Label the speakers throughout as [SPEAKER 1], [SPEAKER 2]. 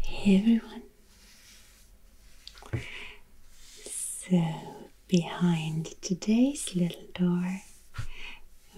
[SPEAKER 1] Hey everyone. So, behind today's little door,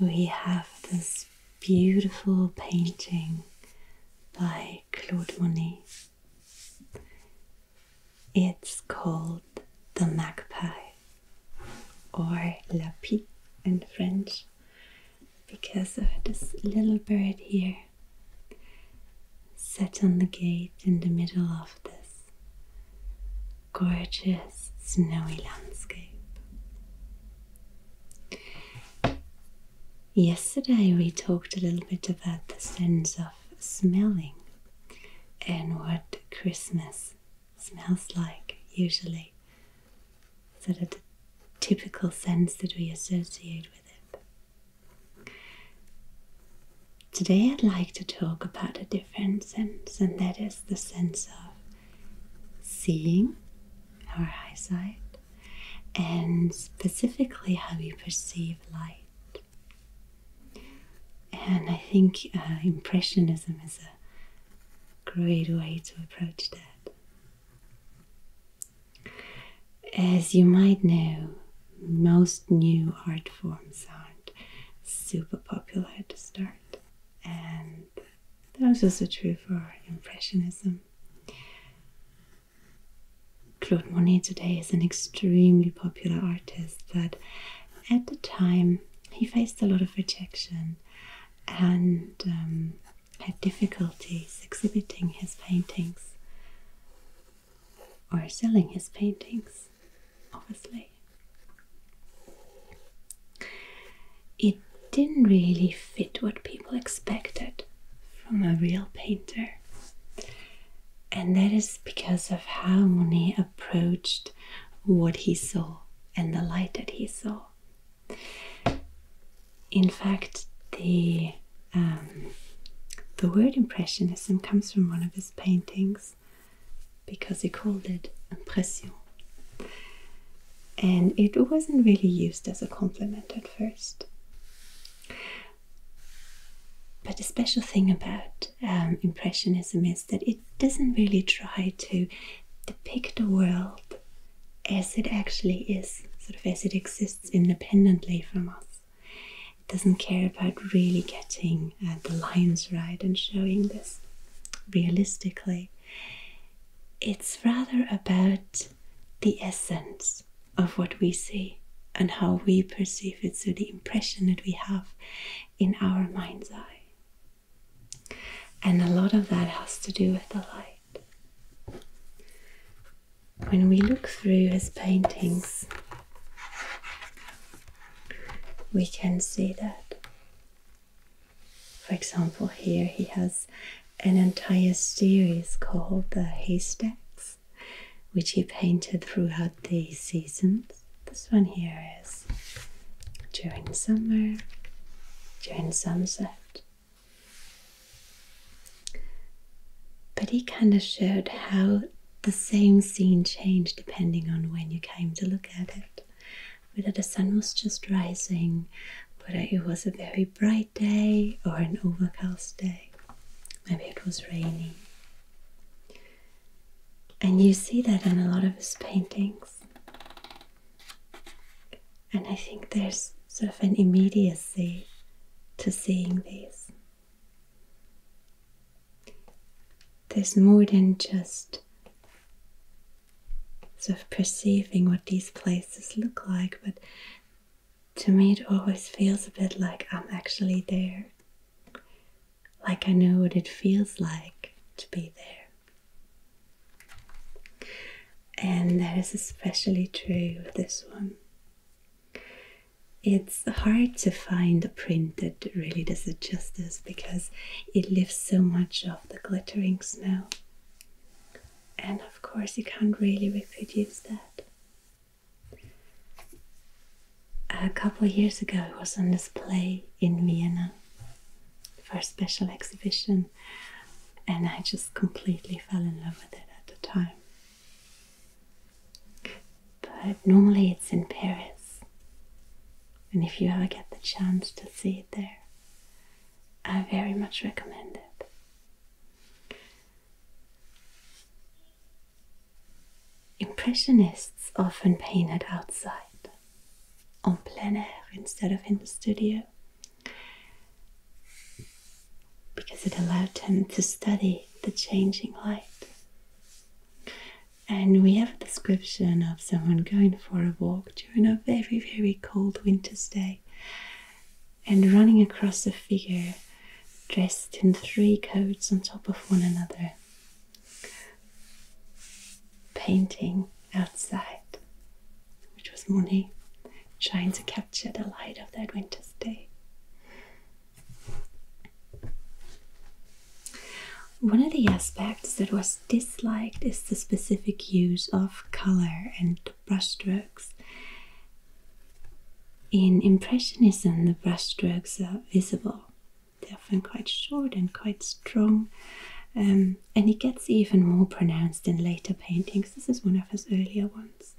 [SPEAKER 1] we have this beautiful painting by Claude Monet. It's called the magpie or la pie in French because of this little bird here set on the gate in the middle of this gorgeous snowy landscape. Yesterday we talked a little bit about the sense of smelling and what Christmas smells like usually, sort of the typical sense that we associate with it. Today, I'd like to talk about a different sense, and that is the sense of seeing our eyesight and specifically how we perceive light. And I think uh, Impressionism is a great way to approach that. As you might know, most new art forms aren't super popular to start, and that was also true for Impressionism. Claude Monet today is an extremely popular artist, but at the time, he faced a lot of rejection and um, had difficulties exhibiting his paintings or selling his paintings, obviously. It didn't really fit what people expected from a real painter. And that is because of how Monet approached what he saw and the light that he saw. In fact, the um, the word impressionism comes from one of his paintings because he called it impression. And it wasn't really used as a compliment at first. But the special thing about um, Impressionism is that it doesn't really try to depict the world as it actually is, sort of as it exists independently from us. It doesn't care about really getting uh, the lines right and showing this realistically. It's rather about the essence of what we see and how we perceive it, so the impression that we have in our mind's eye. And a lot of that has to do with the light. When we look through his paintings, we can see that. For example, here he has an entire series called the Haystacks which he painted throughout the seasons. This one here is during summer, during sunset. But he kind of showed how the same scene changed depending on when you came to look at it. Whether the sun was just rising, whether it was a very bright day or an overcast day, maybe it was raining. And you see that in a lot of his paintings. And I think there's sort of an immediacy to seeing these. There's more than just sort of perceiving what these places look like, but to me, it always feels a bit like I'm actually there, like I know what it feels like to be there. And that is especially true with this one. It's hard to find a print that really does it justice because it lifts so much of the glittering snow. And of course, you can't really reproduce that a couple of years ago it was on display in Vienna for a special exhibition and I just completely fell in love with it at the time. But normally it's in Paris and if you ever get the chance to see it there I very much recommend it. Impressionists often painted outside, en plein air instead of in the studio, because it allowed them to study the changing light. And we have a description of someone going for a walk during a very, very cold winter's day and running across a figure dressed in three coats on top of one another. Painting outside, which was Monet trying to capture the light of that winter's day. One of the aspects that was disliked is the specific use of color and brushstrokes in Impressionism, the brushstrokes are visible. They're often quite short and quite strong, um, and it gets even more pronounced in later paintings. This is one of his earlier ones.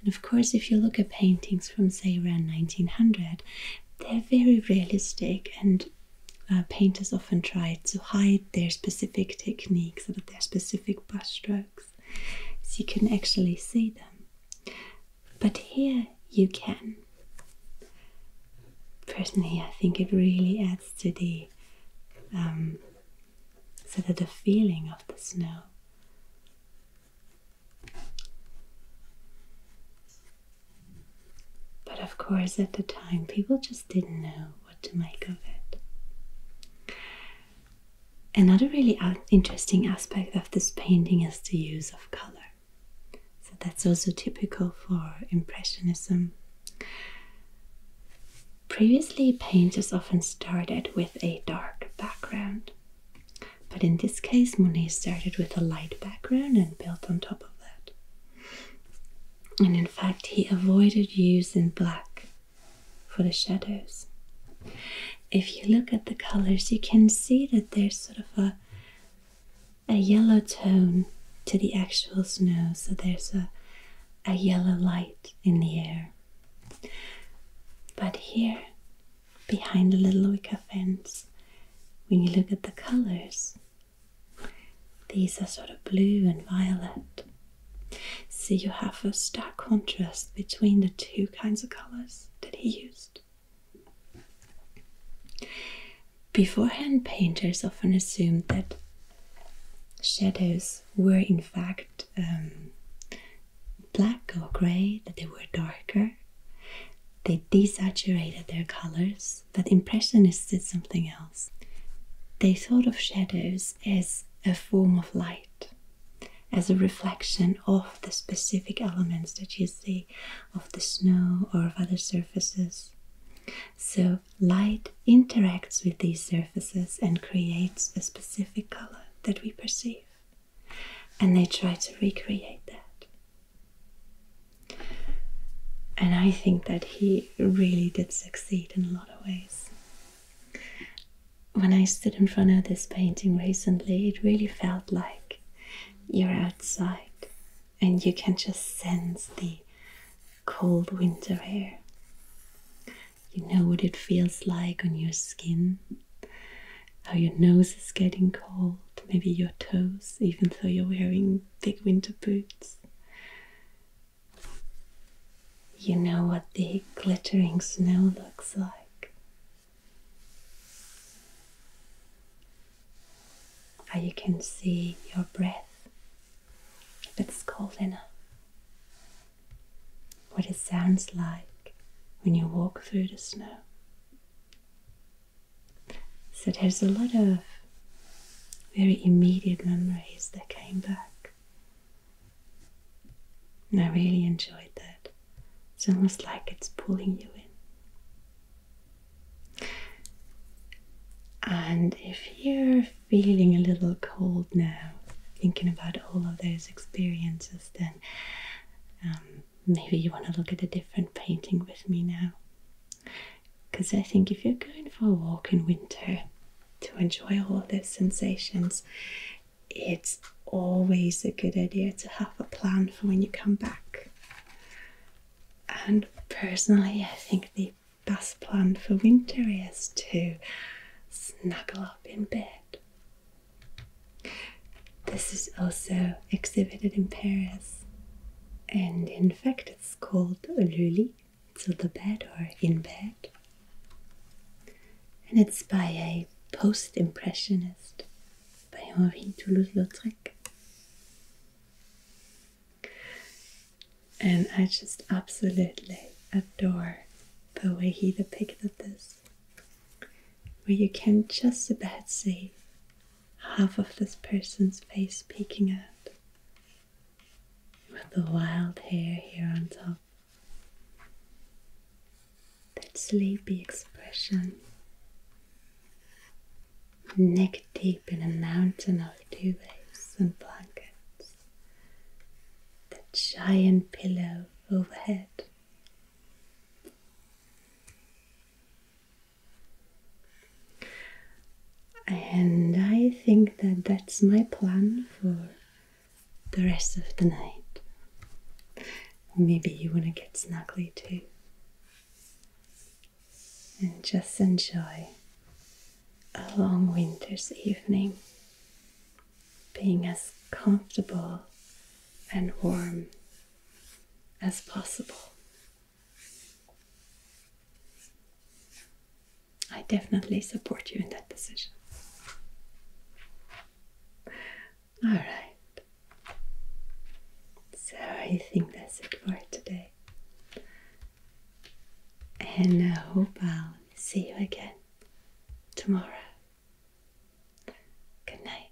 [SPEAKER 1] And of course, if you look at paintings from, say, around 1900, they're very realistic, and uh, painters often try to hide their specific techniques or their specific brushstrokes so you can actually see them. But here you can. Personally, I think it really adds to the um, sort the feeling of the snow. But of course, at the time, people just didn't know what to make of it. Another really interesting aspect of this painting is the use of color. So that's also typical for Impressionism. Previously, painters often started with a dark background, but in this case, Monet started with a light background and built on top of that. And in fact, he avoided using black for the shadows. If you look at the colors, you can see that there's sort of a a yellow tone to the actual snow, so there's a a yellow light in the air. But here, behind the little wicker fence, when you look at the colors, these are sort of blue and violet. See, you have a stark contrast between the two kinds of colors that he used. Beforehand, painters often assumed that shadows were in fact um, black or grey, that they were darker. They desaturated their colors, but Impressionists did something else. They thought of shadows as a form of light, as a reflection of the specific elements that you see of the snow or of other surfaces. So, light interacts with these surfaces and creates a specific color that we perceive. And they try to recreate that. And I think that he really did succeed in a lot of ways when I stood in front of this painting recently, it really felt like you're outside and you can just sense the cold winter air. You know what it feels like on your skin, how your nose is getting cold, maybe your toes, even though you're wearing thick winter boots. You know what the glittering snow looks like. How you can see your breath if it's cold enough. What it sounds like when you walk through the snow. So there's a lot of very immediate memories that came back I really enjoyed that. It's almost like it's pulling you in. And if you're feeling a little cold now, thinking about all of those experiences, then um, maybe you want to look at a different painting with me now. Because I think if you're going for a walk in winter, to enjoy all of those sensations, it's always a good idea to have a plan for when you come back. And personally, I think the best plan for winter is to snuggle up in bed. This is also exhibited in Paris, and in fact, it's called a Luli it's to the bed or in bed. And it's by a post impressionist by Henri Toulouse Lautrec. And I just absolutely adore the way he depicted this, where you can just about see half of this person's face peeking out with the wild hair here on top. That sleepy expression. Neck deep in a mountain of duvets and blankets. That giant pillow overhead. And I think that that's my plan for the rest of the night. Maybe you want to get snuggly too. And just enjoy a long winter's evening, being as comfortable and warm as possible. I definitely support you in that decision. All right. So I think that's it for today. And I hope I'll see you again tomorrow. Good night.